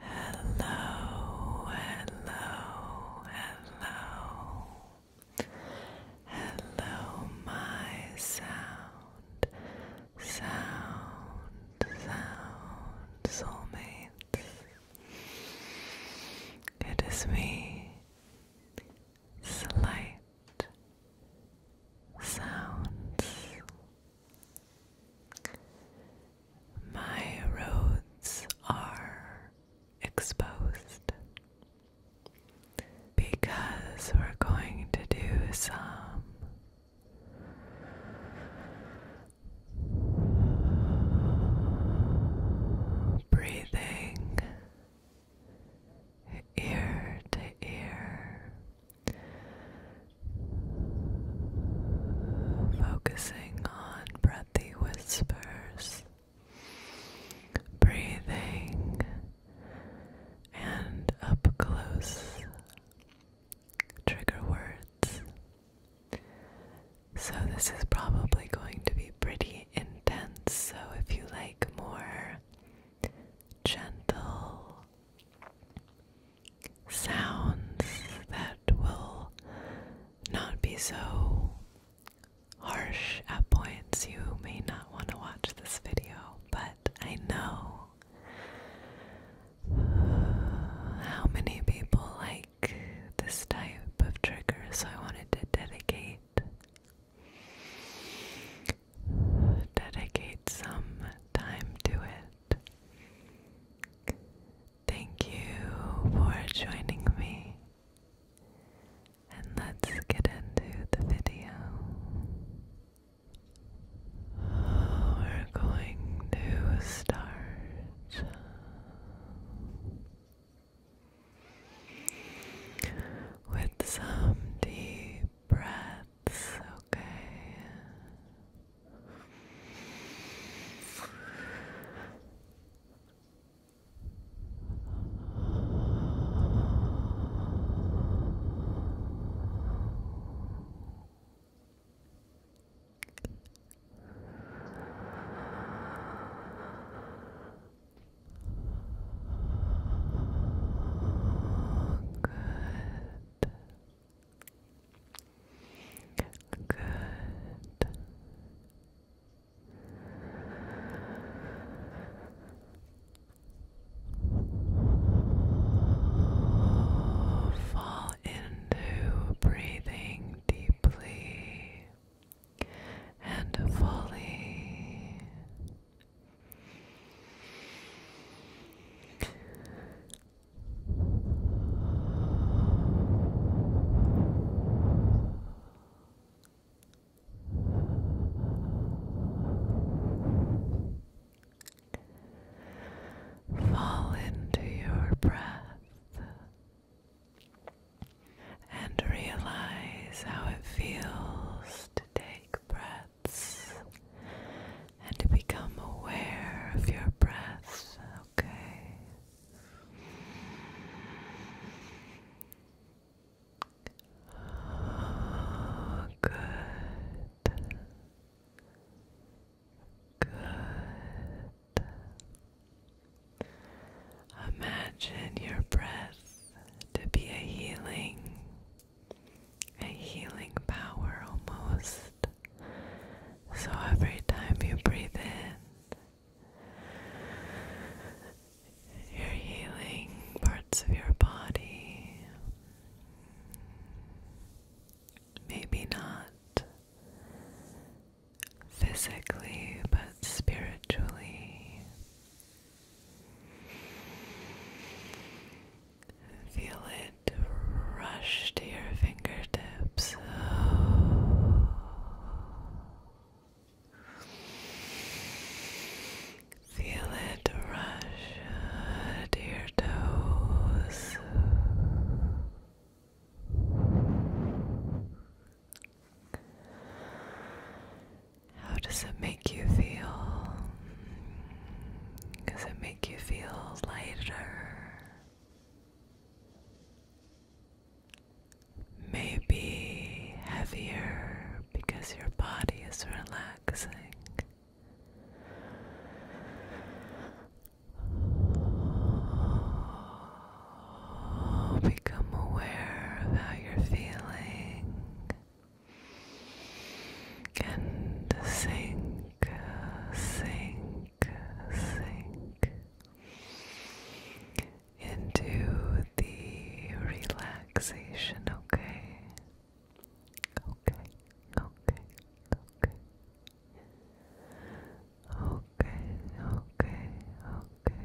Hello, hello, hello. Hello, my sound, sound, sound soulmates. It is me, Slight Sounds. My roads are exposed because we're going to do some breathing ear to ear. Focusing on breathy whispers, breathing, and up close trigger words. So, this is probably going to be pretty intense. So, if you like more gentle, sounds that will not be so harsh at points. You may not want to watch this video, but I know how many people like this type of trigger, so I wanted to dedicate. Dedicate some time to it. Thank you for joining me, and let's get into the video. we're going to start. With some deep breaths, it's okay. Good. Good. Fall into breathing deeply and fully. Fall into your breath and realize how it feels to take breath and to become aware of your breath, okay? good. Good. Imagine your breath to be a healing a healing power almost. So every time you breathe in, you're healing parts of your body. Maybe not physically, but spiritually. Feel it rush to your fingertips. Feel it rush to your toes. How does it make you feel? Does it make you feel lighter? Maybe heavier because your body is relaxing. become aware of how you're feeling and sink, sink, sink into the relaxation, okay? Okay, okay, okay. Okay, okay, okay.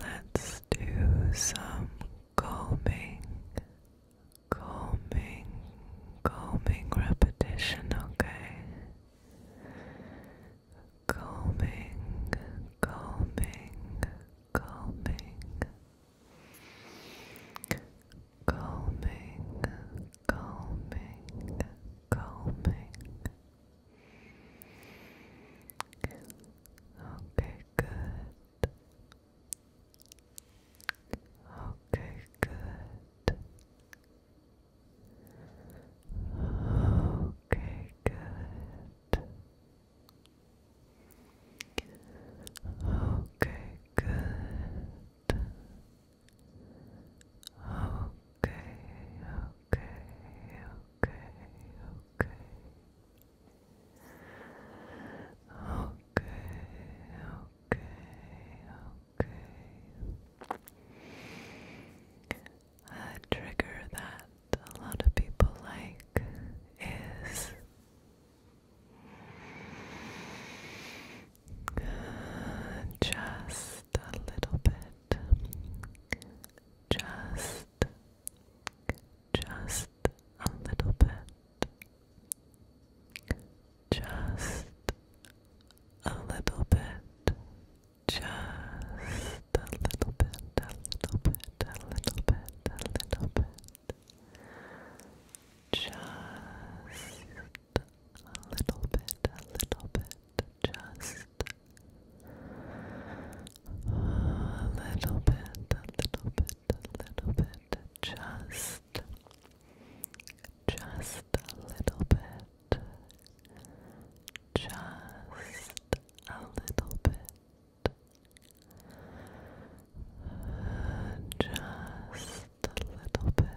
Let's do some calming, calming, calming repetition, okay? Calming, calming, calming, calming, calming, calming. Okay, good. Okay, good. Okay, good. Okay, good. Okay, okay, okay, okay. Okay, okay, okay. A trigger that a lot of people like is uh, just a little bit just, just a little bit, just a little bit, just a little bit, a little bit, a little bit, a little bit, just a little bit, a little bit just a little bit, a little bit, a little bit, just, just a little bit, just a little bit. just a little bit,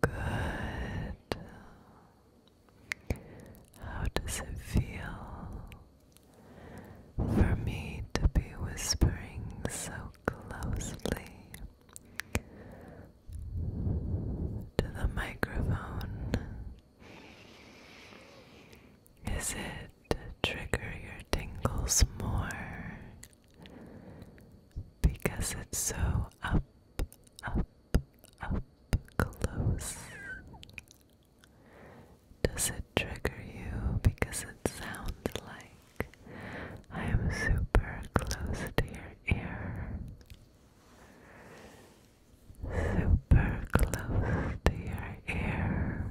Good. How does it feel for me to be whispering so closely to the microphone? Is it trigger your tingles more? Because it's so up, up, up close. Does it trigger you because it sounds like I am super close to your ear? Super close to your ear.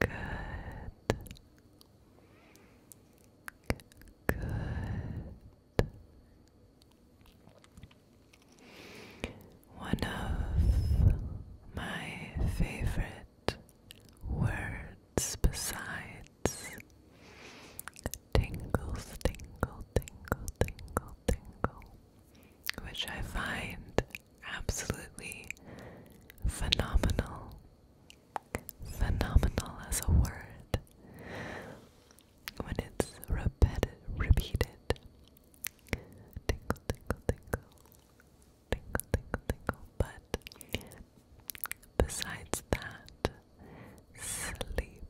Good. Good. One of my favorite words besides tingles, tingle, tingle, tingle, tingle which I find absolutely phenomenal. Phenomenal as a word when it's repeated, repeated. Tinkle, tinkle, tinkle, tinkle, tinkle, But besides that, sleepy,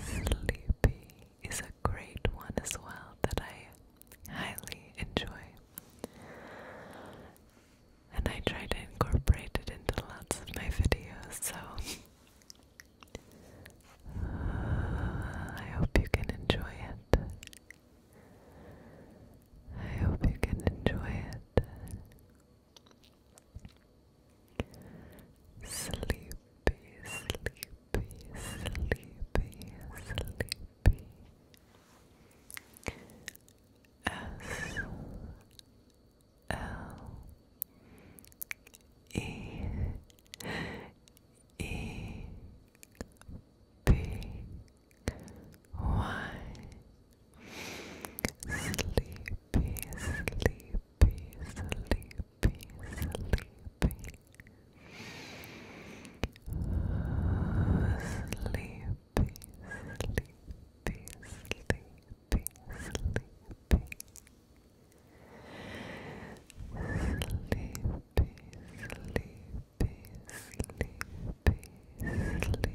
Sleepy is a great one as well that I highly enjoy. And I try to incorporate it into lots of my videos, so I hope you can enjoy it. I hope you can enjoy it. Sleepy, sleepy, sleepy, sleepy. S L E E P Y Sleepy, sleepy, sleepy, sleepy. Uh, sleepy, sleepy, sleepy, sleepy. Sleepy, sleepy, sleepy, sleepy.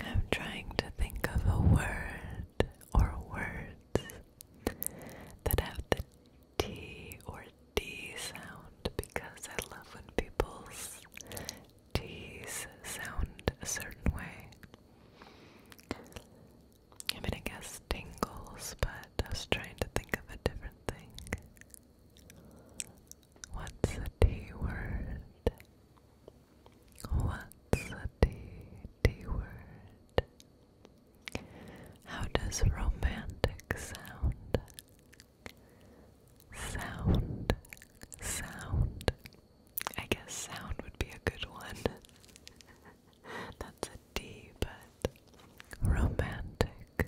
I'm trying to think of a word or words that have the T or D sound because I love when people's T's sound a certain way. I mean, I guess tingles, but I was trying to think of a different thing. What's the T word? What's the word? How does romantic sound? Sound, sound. I guess sound would be a good one. That's a D, but romantic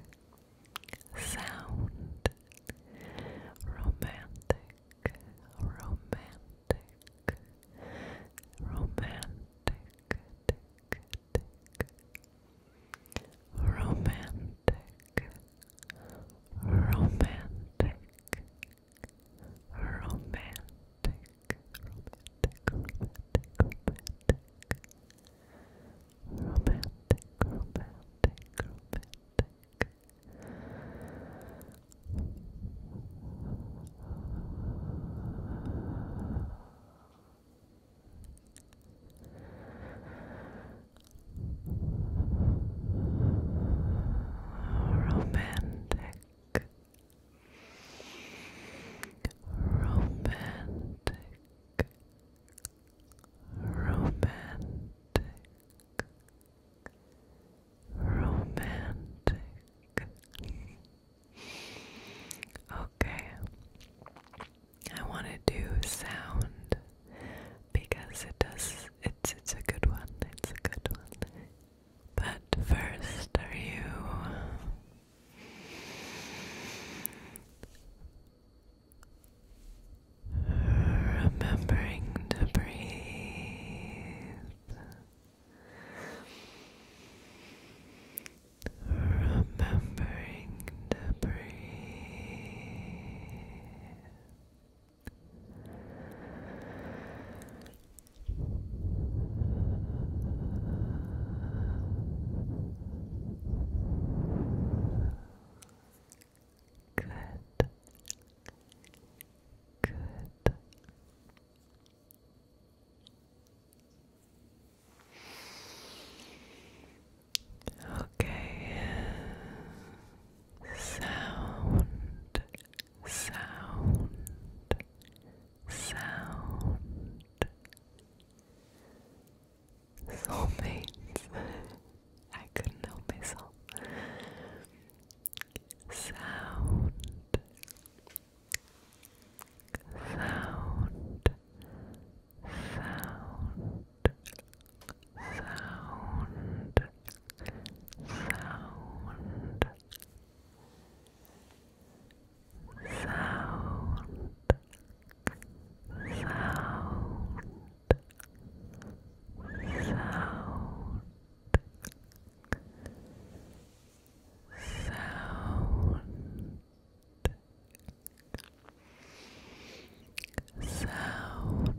sound. Romantic, romantic, romantic, romantic, romantic, romantic, romantic, romantic, romantic. Romantic, romantic, romantic romantic, romantic, romantic. Okay, I want to do sound because it does. It's it's a good one. It's a good one. But first, are you remembering to breathe? Remembering to breathe. Good. Good. Okay. Sound sound, sound, soulmates. I couldn't help myself. Sound, sound, sound, sound sound sound sound sound sound sound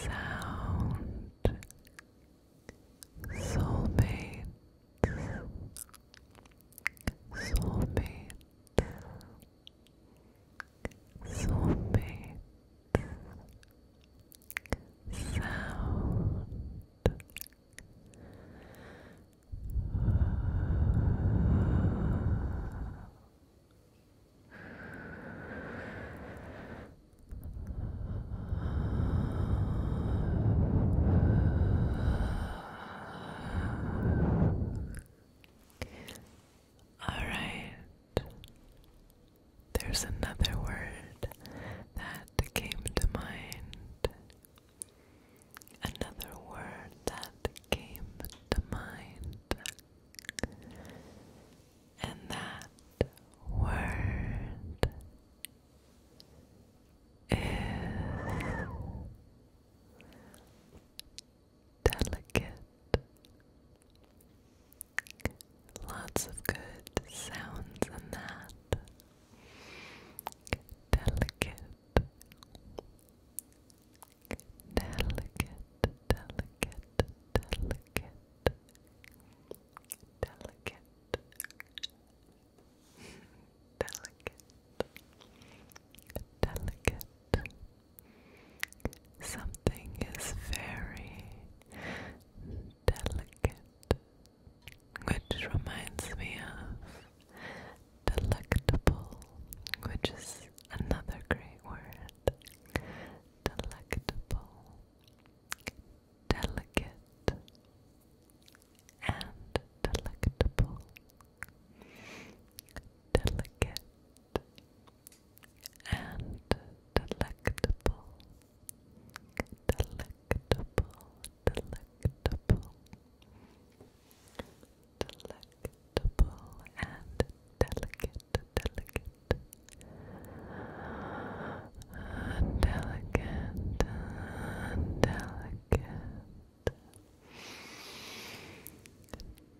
sound soulmate soulmate soulmate sound all right. There's another word that came to mind. Another word that came to mind. And that word is delicate. Lots of good sounds in that. Delicate delicate, delicate, delicate, delicate, delicate, delicate. Something is very delicate, which reminds me of delectable, which is another great word delicate, delicate, and delectable, delicate, and delectable, delectable, delectable delectable and delicate, delicate, delicate, delicate, delicate,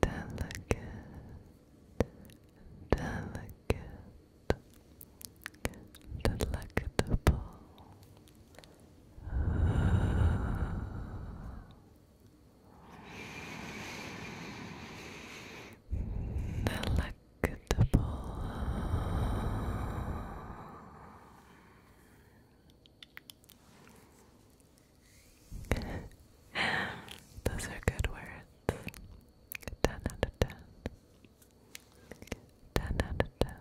delicate, delectable. Delectable. Those are good words. Ten out of ten. Ten out of ten.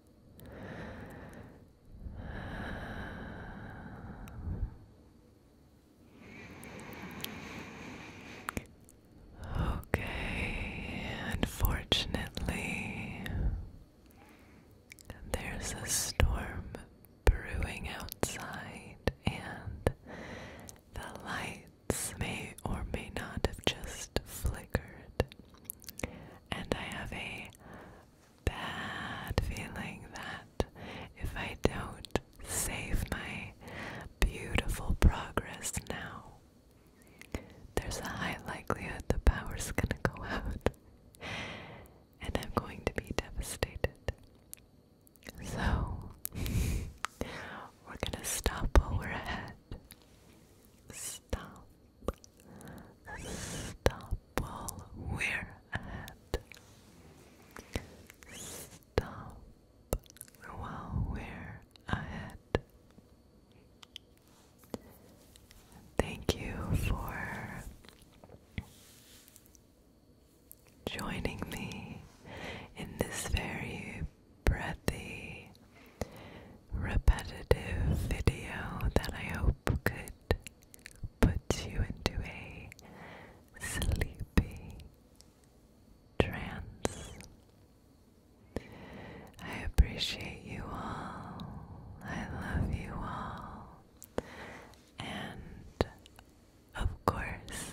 Okay, unfortunately, there's a storm brewing outside, and the light lights may or may not have just flickered, and I have a bad feeling that if I don't save my beautiful progress now, there's a high likelihood the power's gonna go out, and I'm going to be devastated. So, we're gonna stop while we're ahead Stop. Stop while we're ahead. Stop while we're ahead. Thank you for joining me in this very breathy, repetitive video that I hope could put you into a sleepy trance. I appreciate you all. I love you all. And of course,